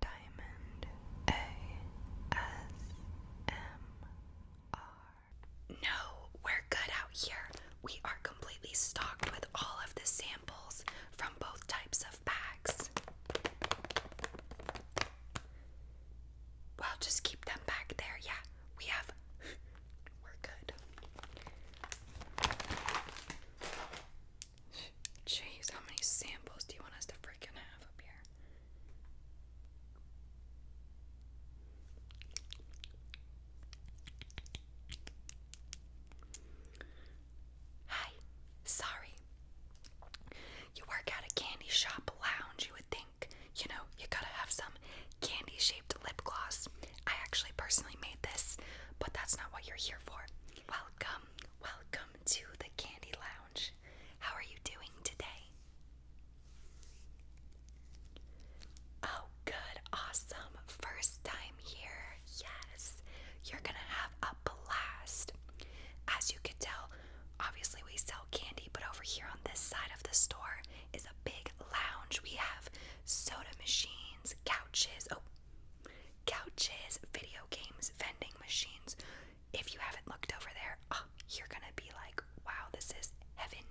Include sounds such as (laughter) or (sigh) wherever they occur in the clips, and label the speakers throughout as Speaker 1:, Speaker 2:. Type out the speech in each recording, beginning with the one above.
Speaker 1: Diamond ASMR. No, we're good out here. We are completely stocked with all of the samples from both types of bags. Well, just keep them back there. Yeah, we have. We're good. Jeez, how many samples do you want us to freaking have up here? Hi, sorry. You work at a candy shop lounge, you would think. You know, you gotta have some candy shaped lip gloss. I actually personally made this, but that's not what you're here for. Welcome, welcome to the Candy Lounge. How are you doing today? Oh, good, awesome. First time here. Yes, you're gonna have a blast. As you could tell, obviously we sell candy, but over here on this side of the store is a big lounge. We have soda machines, couches. Oh, Couches, video games, vending machines. If you haven't looked over there, oh, you're gonna be like, wow, this is heaven.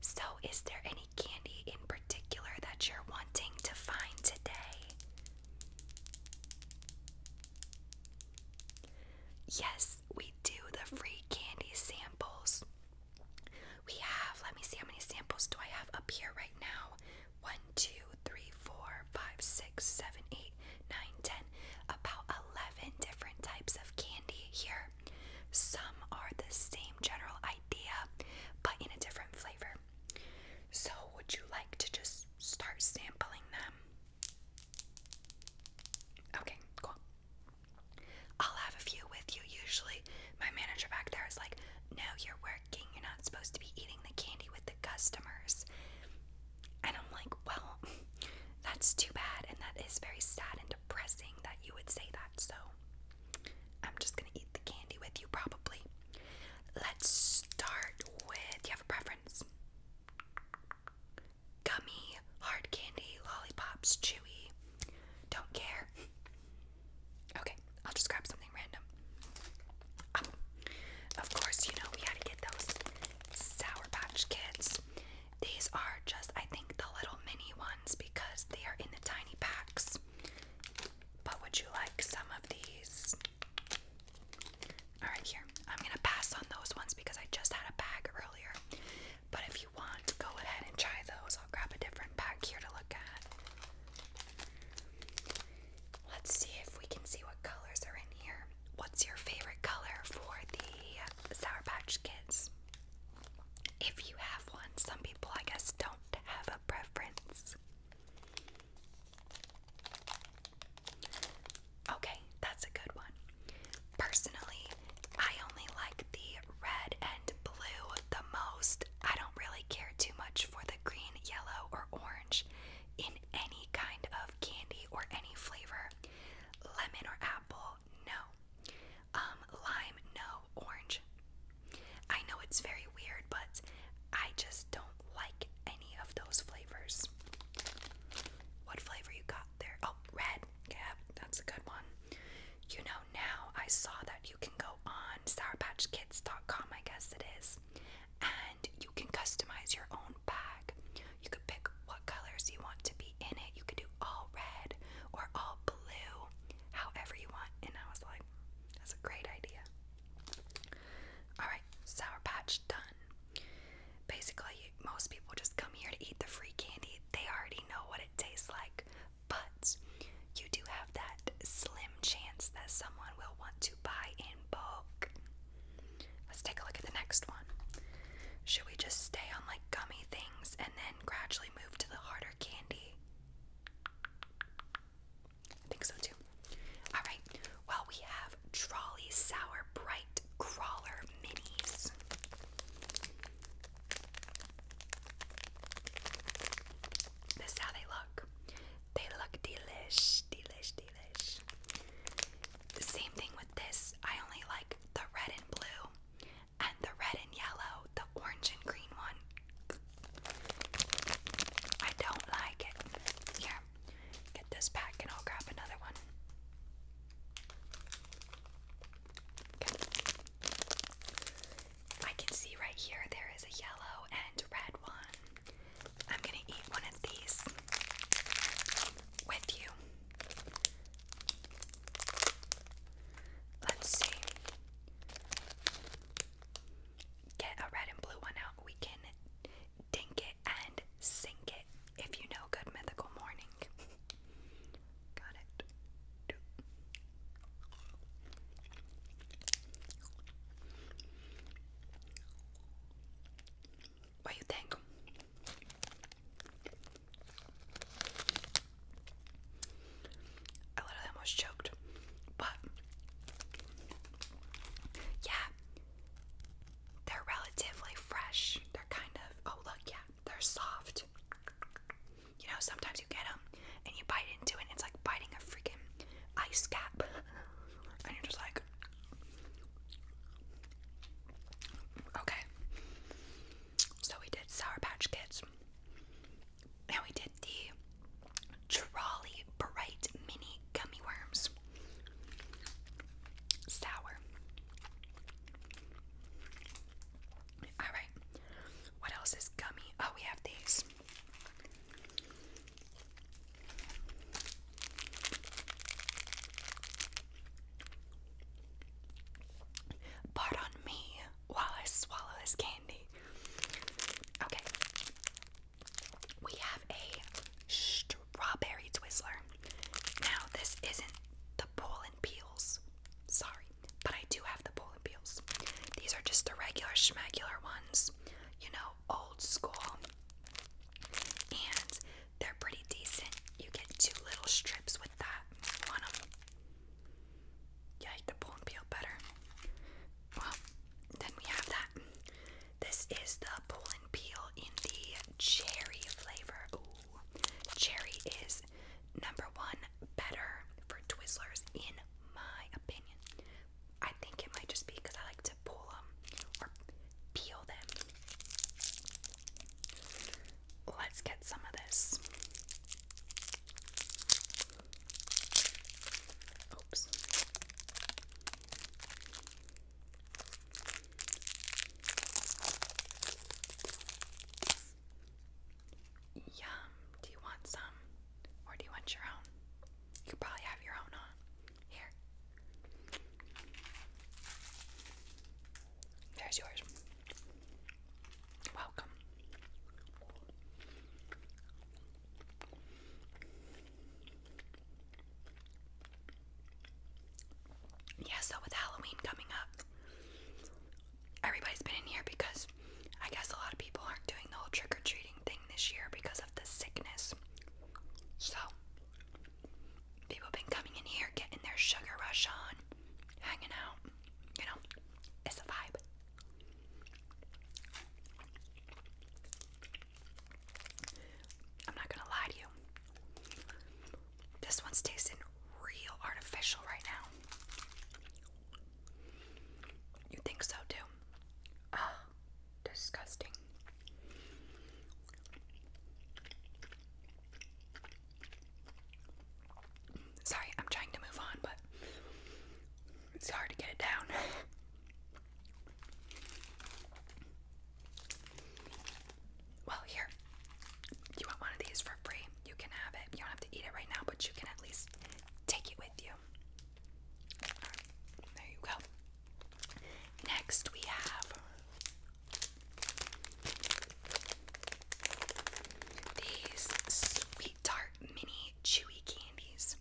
Speaker 1: So, is there any candy in particular that you're wanting to find today? Yes, we do the free candy samples. We have, let me see how many samples do I have up here right now? 1, 2, 3, 4, 5, 6, 7, 8, 9, 10, about 11 different types of candy here. Some are the same general idea, but in a different flavor. So, would you like to just start sampling them? Okay, cool. I'll have a few with you. Usually, my manager back there is like, No, you're working." You're not supposed to be eating the candy with the customers. And I'm like, well, (laughs) that's too bad. And that is very sad and depressing that you would say that. So I'm just going to eat the candy with you, probably. Let's start with do you have a preference? Gummy, hard candy, lollipops, chewy. Don't care. Okay, I'll just grab something random. Um, of course, you know, we had to get those Sour Patch Kids. These are just, I think, the little mini ones because they are in the tiny packs. But would you like some of these? Alright, here. I'm going to pass on those ones because I just had a bag earlier. But if you want, go ahead and try those. I'll grab a different pack here to look at. Let's see if we can see what colors are in here. What's your favorite color for the Sour Patch Kids? If you have one, some people, I guess, don't have a preference. Okay, that's a good one. Personally, I only like the red and blue the most. I don't really care too much for the green, yellow, or orange in any kind of candy or any flavor. Lemon or apple, no. Um, lime, no. Orange. I know it's very weird, but I just don't like any of those flavors. What flavor you got there? Oh, red. Yeah, that's a good one. You know, now I saw that you can can go on sourpatchkids.com, I guess it is, and you can customize your own bag. You could pick what colors you want to be in it. You could do all red or all blue, however you want. And I was like, that's a great idea. Alright, Sour Patch done. Basically, most people just come here to eat the free candy. They already know what it tastes like, but you do have that slim chance that someone will want to buy in bulk. Let's take a look at the next one. Should we just stay on like gummy things and then gradually move to the harder candy? I think so too. Alright, well, we have Trolley Sour Bright Crawler Minis. This is how they look. They look delish, delish, delish. The same thing with this. I only like the red and blue, and the red and yellow, the orange and green one. I don't like it. Here, get this back and I'll grab another one. I can see right here there is a yellow and red one. I'm gonna eat one of these with you. Let's see. Get a red and blue one out. We can dink it and sink it if you know Good Mythical Morning. (laughs) Got it. What you think? I literally almost choked, but yeah, they're relatively fresh. They're kind of, oh, look, yeah, they're soft. You know, sometimes you get them and you bite into it, and it's like biting a freaking ice cap, (laughs) and you're just like, okay. So we did Sour Patch Kids, and we did the Trolley Bright Mini Gummy Worms. Sour. Alright, what else is gummy? Oh, we have these. Pardon me while I swallow this candy. Okay, we have a strawberry Twizzler. Now, this isn't the Poland peels. Sorry, but I do have the Polar Peels. These are just the regular schmegular ones, you know, old school. And they're pretty decent. You get two little strips with that on them. Yeah, I like the Polar Peel better. Well, then we have that. This is the Poland Peel in the cherry flavor. Ooh, cherry is number one better for Twizzlers, in my opinion. I think it might just be because I like to pull them or peel them. Let's get some of this. Oops. Yum. Do you want some? Or do you want your own? You could probably have your own on. Here. There's yours. Welcome. Yeah, so with Halloween coming up, everybody's been in here because I guess a lot of people aren't doing the whole trick or treating thing this year because of the sickness. So, people have been coming in here, getting their sugar rush on, hanging out. You know, it's a vibe. I'm not gonna lie to you. This one's tasting real artificial right now. You think so too? Ah, disgusting. Sorry, I'm trying to move on, but it's hard to get it down. (laughs) well, here, you want one of these for free, you can have it. You don't have to eat it right now, but you can at least take it with you. there you go. Next, we have these Sweet Tart Mini Chewy Candies.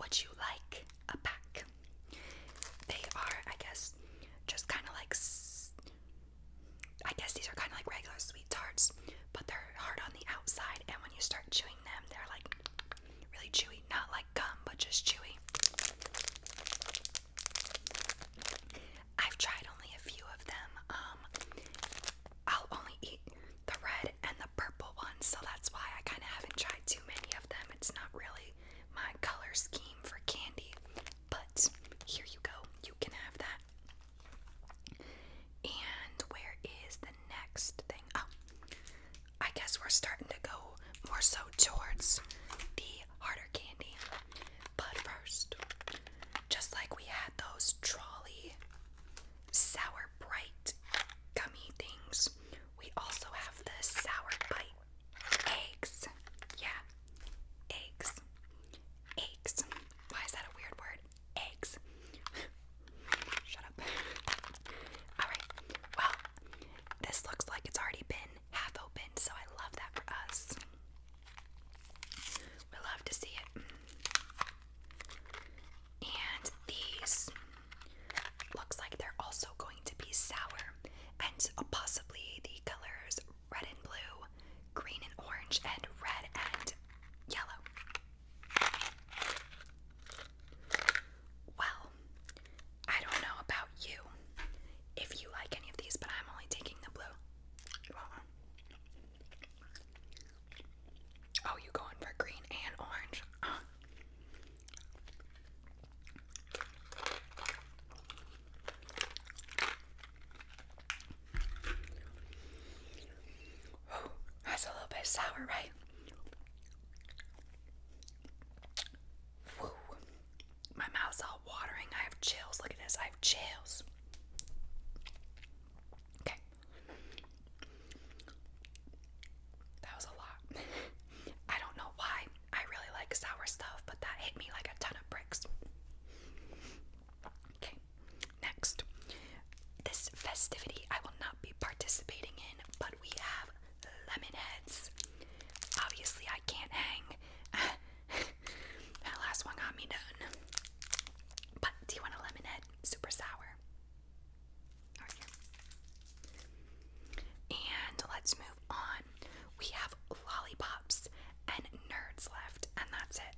Speaker 1: Would you like a pack? They are, I guess, just kind of like I guess these are kind of like regular sweet tarts, but they're hard on the outside, and when you start chewing them, they're like really chewy. Not like gum, but just chewy. I've tried only a few of them. Um, I'll only eat the red and the purple ones, so that's why I kind of haven't tried too many of them. It's not really my color scheme for candy, but here you go. You can have that. And where is the next thing? Oh, I guess we're starting to go more so towards the harder candy. But first, just like we had those trolley sour bright gummy things, we also have the sour bite eggs. Yeah, eggs eggs. Why is that a weird word? Eggs. (laughs) Shut up. (laughs) Alright, well, this looks like it's already been half opened, so I love that for us. We love to see it. And these looks like they're also going to be sour, and possibly the colors red and blue, green and orange, and red and yellow. Well, I don't know about you if you like any of these, but I'm only taking the blue. Oh, you going for green and orange? that's a little bit sour, right? My mouth's all watering. I have chills. Look at this. I have chills. Okay. That was a lot. (laughs) I don't know why I really like sour stuff, but that hit me like a ton of bricks. Okay, next. This festivity I will not be participating in, but we have lemon Obviously, I can't hang. (laughs) that last one got me done. But do you want a lemon Super sour. Right, and let's move on. We have lollipops and nerds left, and that's it.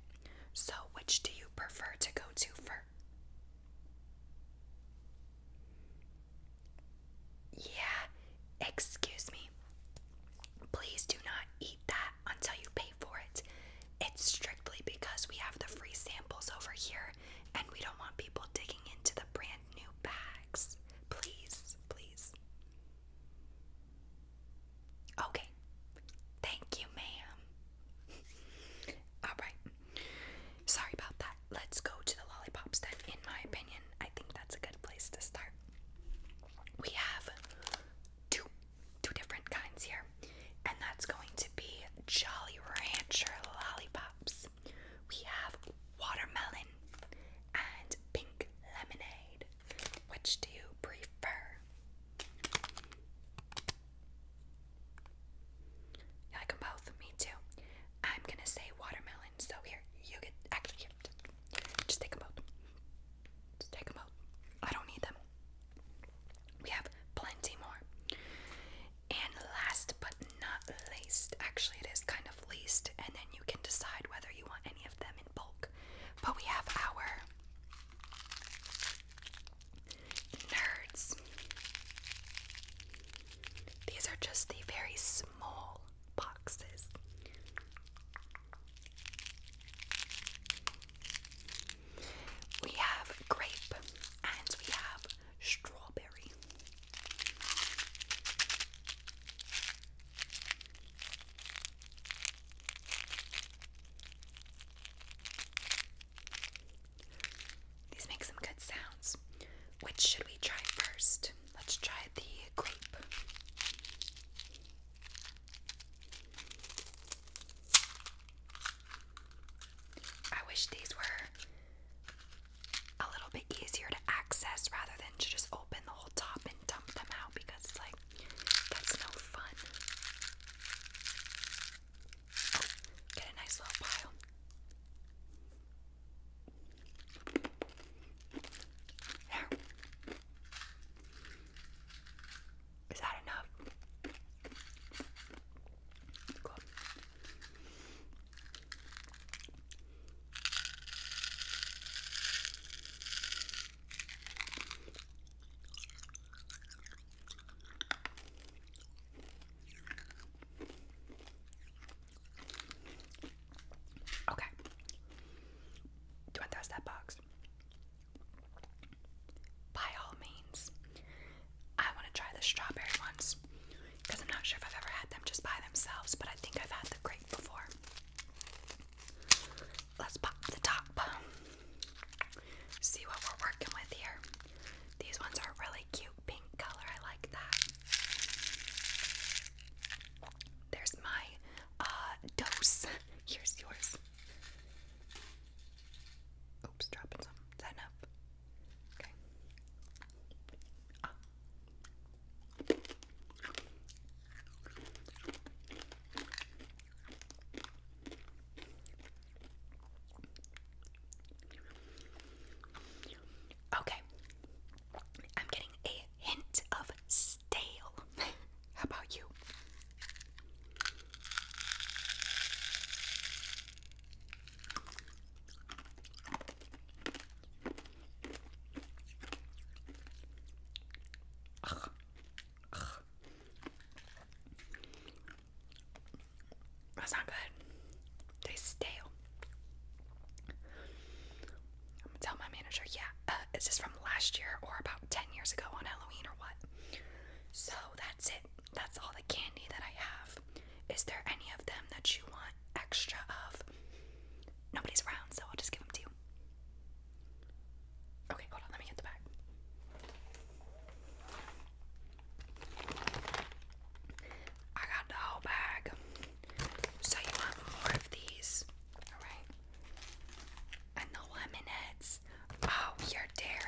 Speaker 1: So, which do you prefer to go to for? Yeah, excuse me. Please do not eat that until you pay for it. It's strictly because we have the free samples over here and we don't want people digging into the brand new bags. Please, please. Okay. Thank you, ma'am. (laughs) Alright. Sorry about that. Let's go to the lollipop stand. in my opinion. I think that's a good place to start. We have two two different kinds here. And that's going to be Jolly Rancher lollipops. We have watermelon and pink lemonade. Which do you prefer? like both? Me too. I'm gonna say watermelon, so here, you get, actually, just take them both. Just take them both. I don't need them. We have plenty more. And last but not least, actually, it is kind of least, and then you can decide whether you want any of them bulk. But we have our nerds. These are just the very small boxes. We have grape and we have strawberry. These make some good sounds. Which should we try first? Let's try the grape. I wish these were a little bit easier to access rather than to just open the whole top and dump them out because, like, that's no fun. Oh, get a nice little pile. There. Is that enough? Okay. Do I want to test that box? By all means. I want to try the strawberry ones because I'm not sure if I've ever had them just by themselves, but I think I've had the grape before. Let's pop the top. See what we're working with here. These ones are really cute pink color. I like that. There's my uh, dose. (laughs) Here's yours. Oops, dropping some. Is that Okay. Ah. Okay, I'm getting a hint of stale. (laughs) How about you? That's not good. Tastes stale. I'm gonna tell my manager, yeah, uh, is this from last year or about 10 years ago on Halloween or what? So that's it. That's all the candy that I have. Is there any of them that you want extra of? nobody's around, so I'll just give them to you. Okay, hold on, let me get the bag. I got the whole bag. So you want more of these? Alright. And the lemon Oh, you're daring.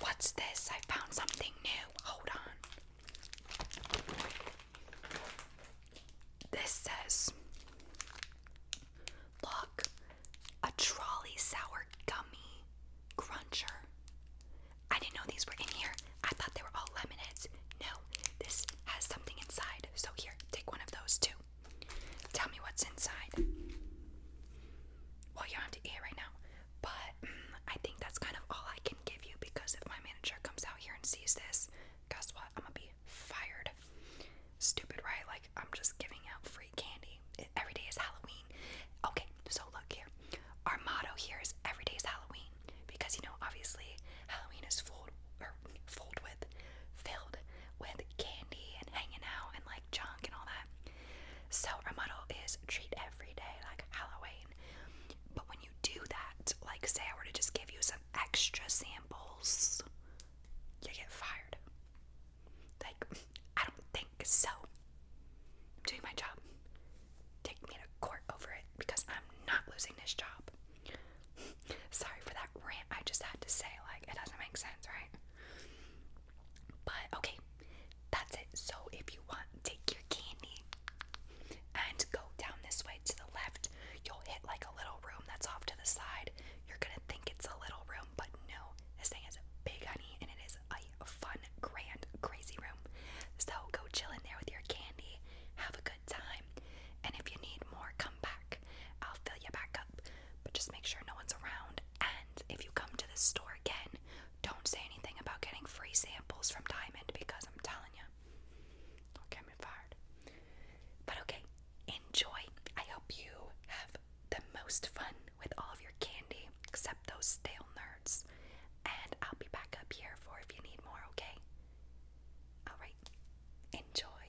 Speaker 1: What's this? I found something new. Hold on. This says, Look, a trolley sour gummy cruncher. I didn't know these were in here. I thought they were all lemonades. No, this has something inside. So, here, take one of those too. Tell me what's inside. Well, you don't have to eat right now, but mm, I think that's kind of all I can give you because if my manager comes out here and sees this, guess what? I'm gonna be fired. Stupid, right? Like, I'm just giving out free candy. It, every day is Halloween. Okay, so look here. Our motto here is every day is Halloween because you know, obviously, Halloween is full or filled with filled with candy and hanging out and like junk and all that. So our motto is treat every day like Halloween. But when you do that, like say I were to just give you some extra samples, you get fired. Like, I don't think so. I'm doing my job. Take me to court over it because I'm not losing this job. (laughs) Sorry for that rant I just had to say. Like, it doesn't make sense, right? But okay, that's it. So, if you want, take your candy and go down this way to the left. You'll hit like a little room that's off to the side. You're gonna think it's a little room, but no, this thing is big, honey, and it is a fun, grand, crazy room. So, go chill in there with your candy, have a good time, and if you need more, come back. I'll fill you back up but just make sure no one's around. And if you come to this store again, don't say anything about getting free samples from Diamond because I'm telling you, i not get me fired. But okay, enjoy. I hope you have the most fun with all of your candy, except those stale nerds. And I'll be back up here for if you need more, okay? Alright, enjoy.